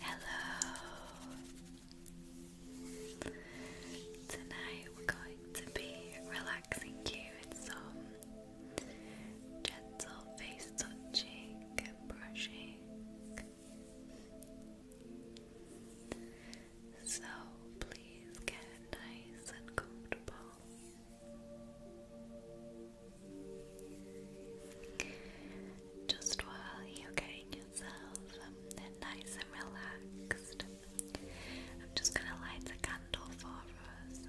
Hello. Tonight we're going to be relaxing you with some gentle face touching and brushing. So please get nice and comfortable. Just while you're getting yourself um, nice and relaxed, I'm just going to light the candle for us.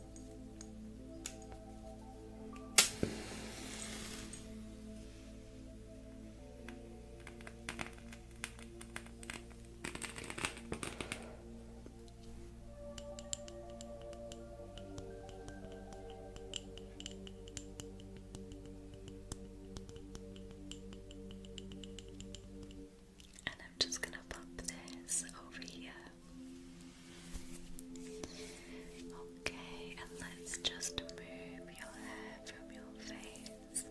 And I'm just going to pop this over here Okay, and let's just move your hair from your face.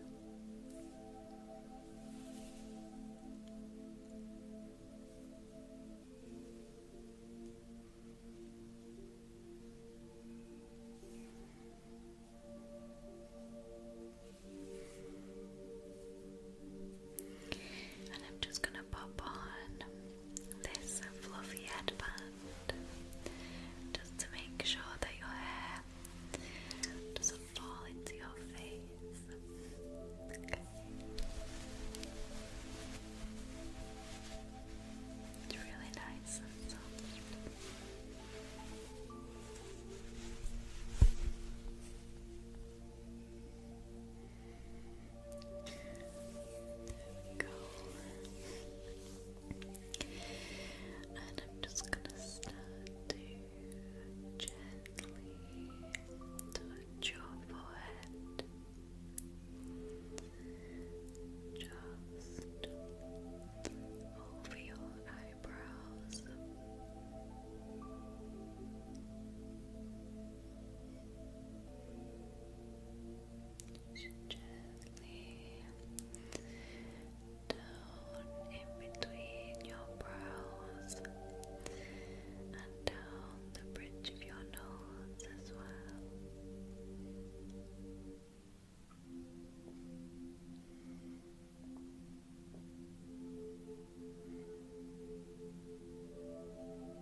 And I'm just going to pop on this fluffy headband just to make sure that your hair doesn't fall into your face. It's really nice and soft. And I'm just gonna start to gently touch your forehead. Just over your eyebrows gently down in between your brows and down the bridge of your nose as well.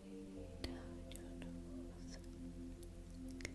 down your nose. Good.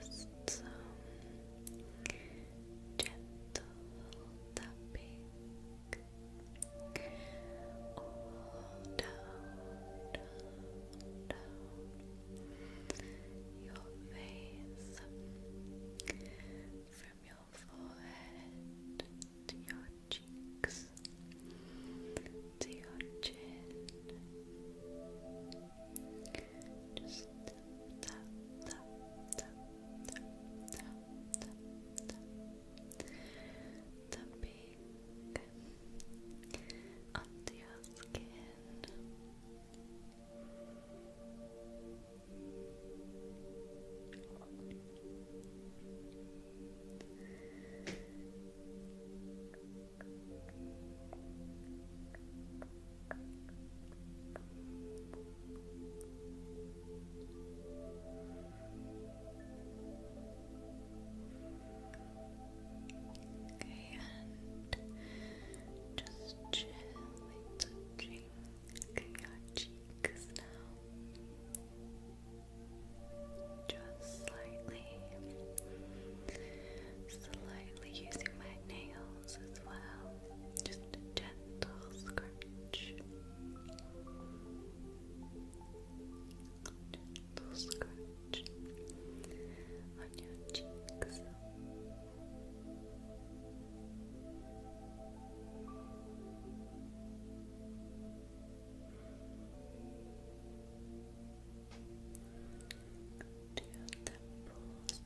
Just some gentle tapping all down, down, down your face from your forehead to your cheeks to your chin just tap, tap, tap, the pink under your skin. Okay, and just gently touching your cheeks now. Just slightly, slightly using my nails as well. Just gentle scratch scratch. Gentle scratch on your cheeks.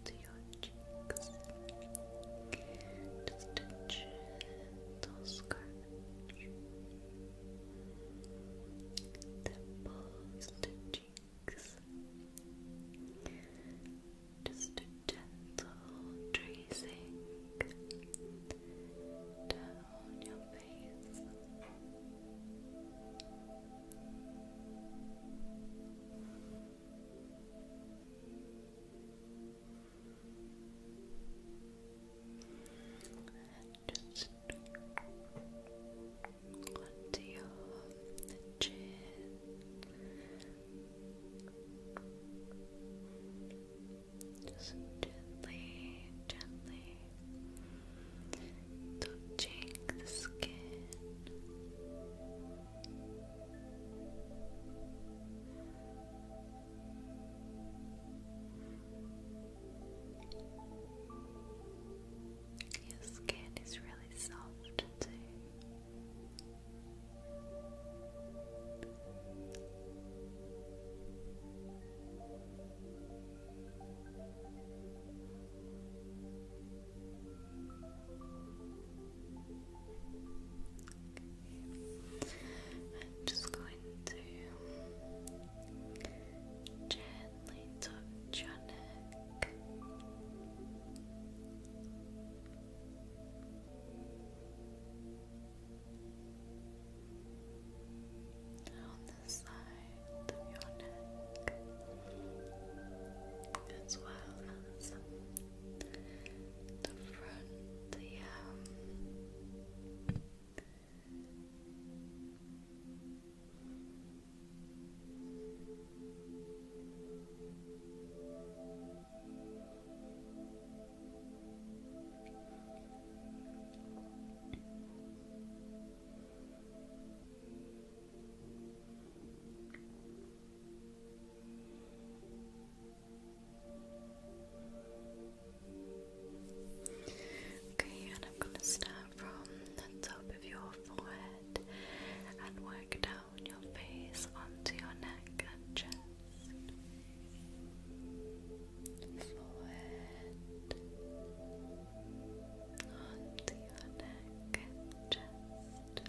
To your temples, cheeks. Just a gentle scratch that pulls cheeks. Just a gentle tracing down your face. And just onto your chin. Just gently, gently touching the skin. Your skin is really soft too. I'm just going to gently touch your neck. On the side of your neck, as well as the front, yeah. Okay, and I'm going to start from the top of your forehead and work down your face onto your neck and chest. Forehead onto your neck and chest.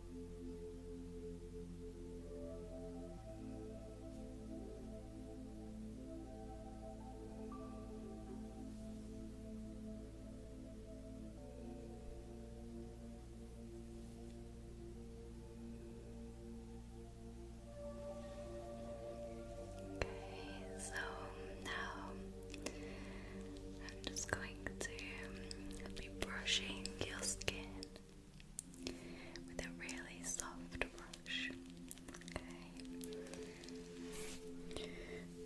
Okay, so now I'm just going to be brushing your skin with a really soft brush. Okay.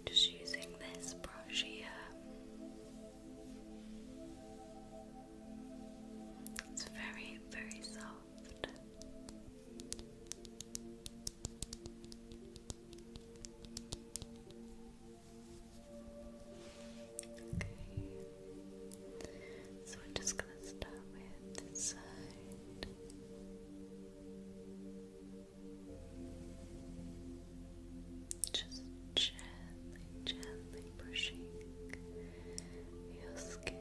Just using this brush here. It's very, very soft. So we're just gonna start with this side. Just gently, gently pushing your skin.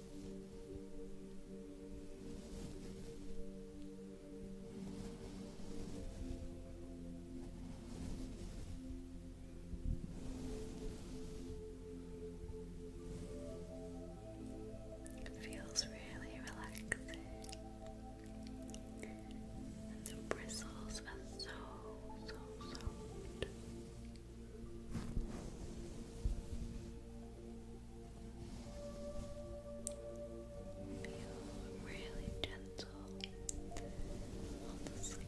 It feels really relaxing. the bristles are so, so soft. Feel really gentle on the skin.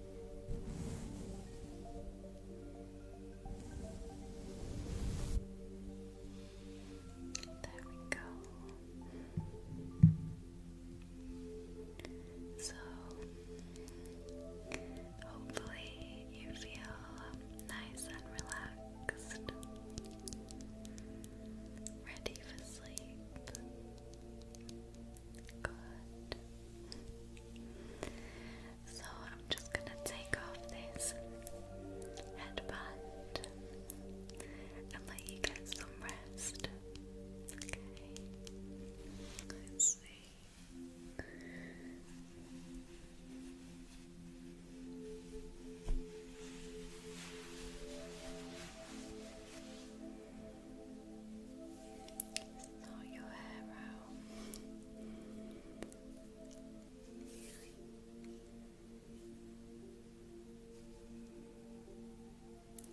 There we go. So, hopefully, you feel nice and relaxed, ready for sleep. Good. So I'm just going to take off this headband and let you get some rest. Okay. Let's see.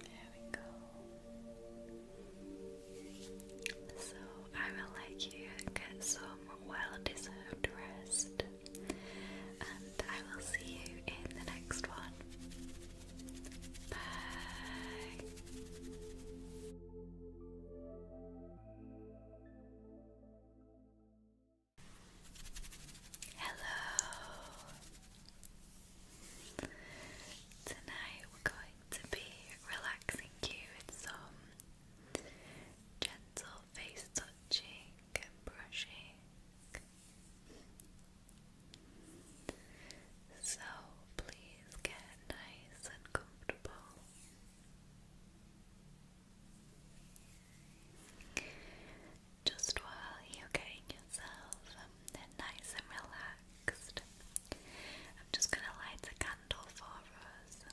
There we go. So I will let you get some well-deserved rest, and I will see you in the next one. Bye. Hello. Tonight we're going to be relaxing you with some gentle face touching and brushing. So please get nice and comfortable. Just while you're getting yourself um, nice and relaxed, I'm just going to light a candle for us.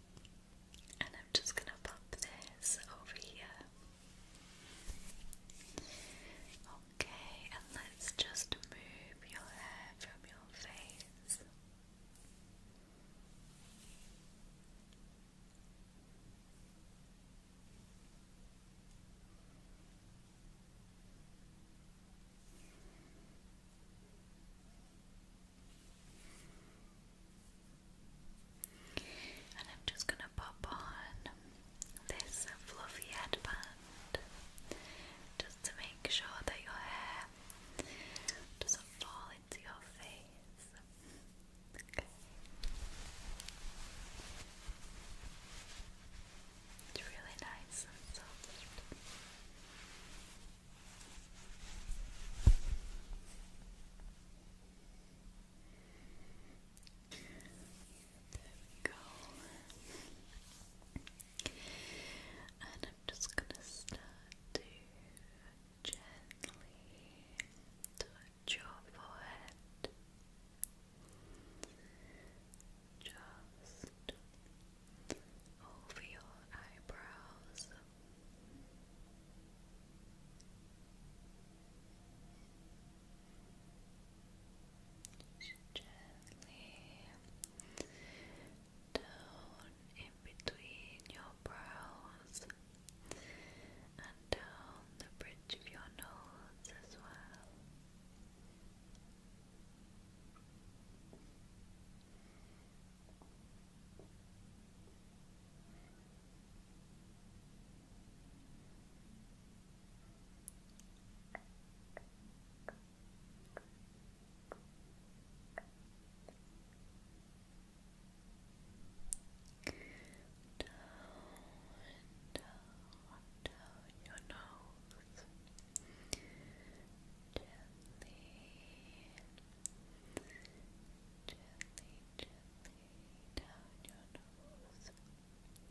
and I'm just going to pop this over here. Okay, and let's just move your hair from your face. And I'm just going to pop on this fluffy headband just to make sure that your hair doesn't fall into your face. Okay. It's really nice we go. And I'm just going to start to gently touch your forehead. Just over your eyebrows. Gently down in between your brows and down the bridge of your nose as well. Down, down, down your nose gently down your nose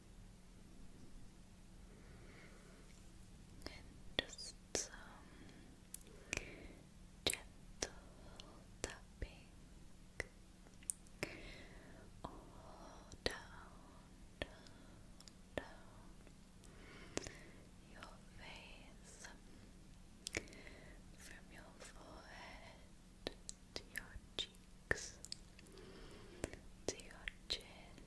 And just gentle tapping all down, down, down your face from your forehead to your cheeks to your chin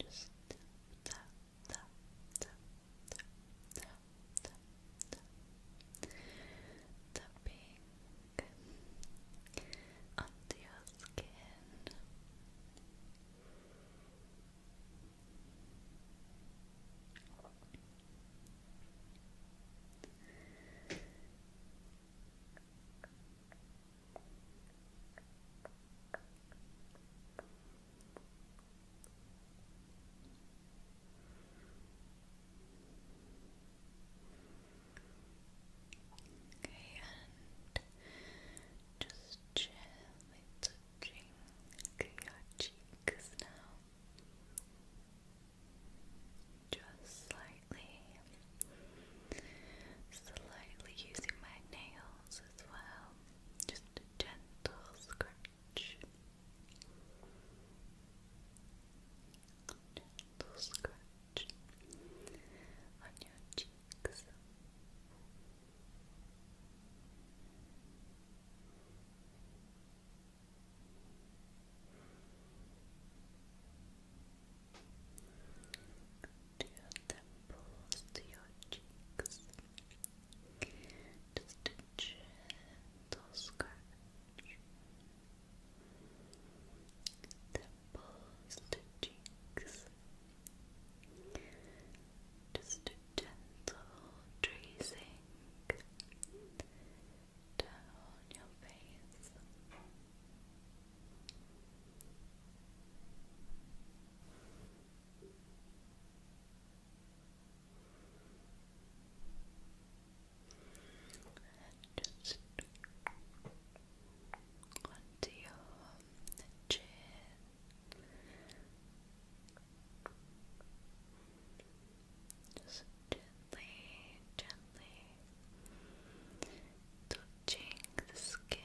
just tap, tap, tap, tap, tap, tap, tap. Tapping onto your skin. Okay, and just gently touching your cheeks now. Just slightly, slightly using my nails as well. Just a gentle scratch. Gentle scratch on your cheeks to your temples, to cheeks. Just a gentle scratch. Temples to cheeks. Just a gentle tracing down your face. just onto your chin. Just gently, gently touching the skin.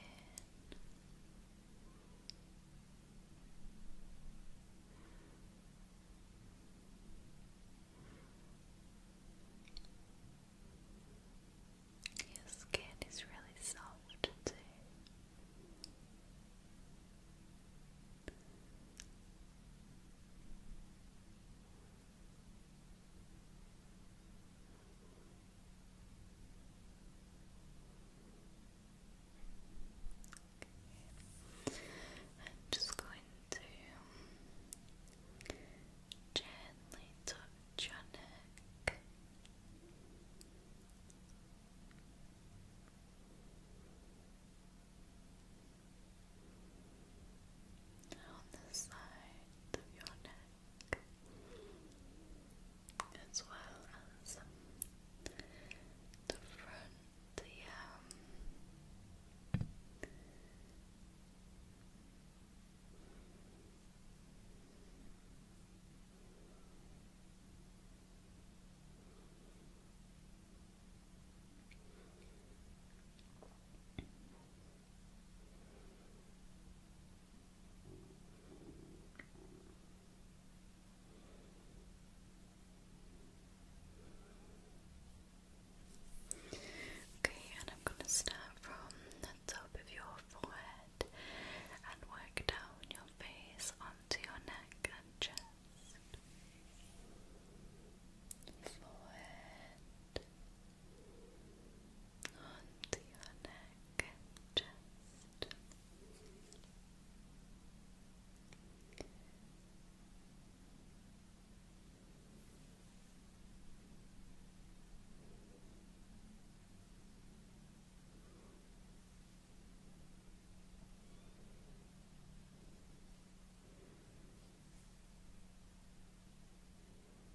Your skin is really soft too. Okay. I'm just going to gently touch your neck down the sides of your neck as well as the front, the um Okay, and I'm going to start from the top of your forehead and work down your face onto your neck and chest. Forehead, onto your neck and chest.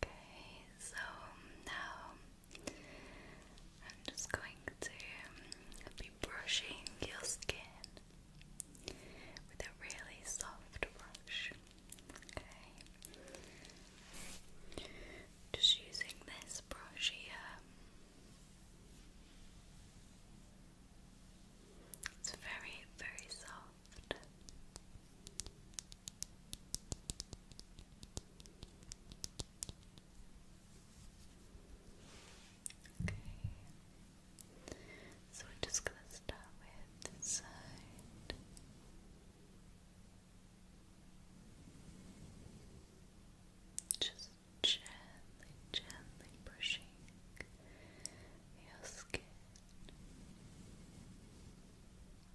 Okay, so now I'm just going to be brushing your skin with a really soft brush. Okay, just using this brush here. It's very, very soft. Okay. So we're just gonna start with this side. Just gently, gently pushing your skin.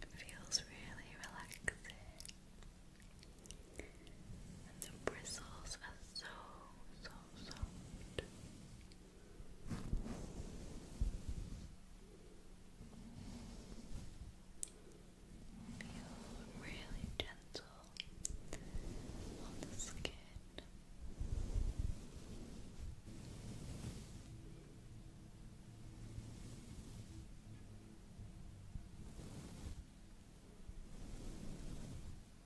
It feels really relaxing the bristles are so, so soft. Feel really gentle on the skin.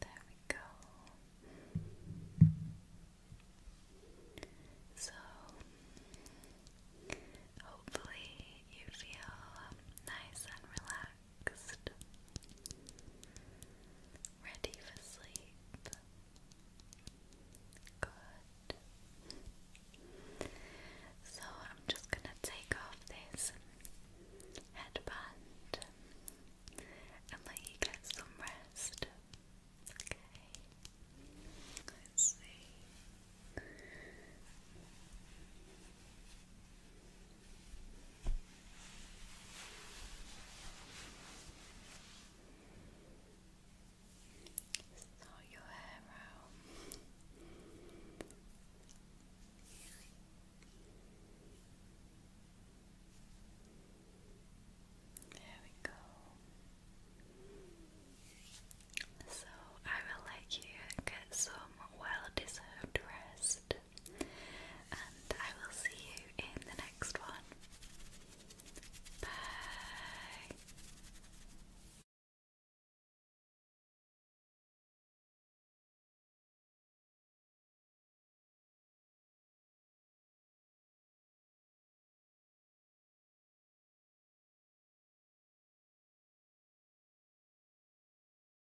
There we go. So, hopefully, you feel nice and relaxed ready for sleep. Good. So I'm just going to take off this headband and let you get some rest. Okay. Let's see. Sort your hair out. There we go. So I will let you get some well deserved rest and I will see you in the next one. Bye.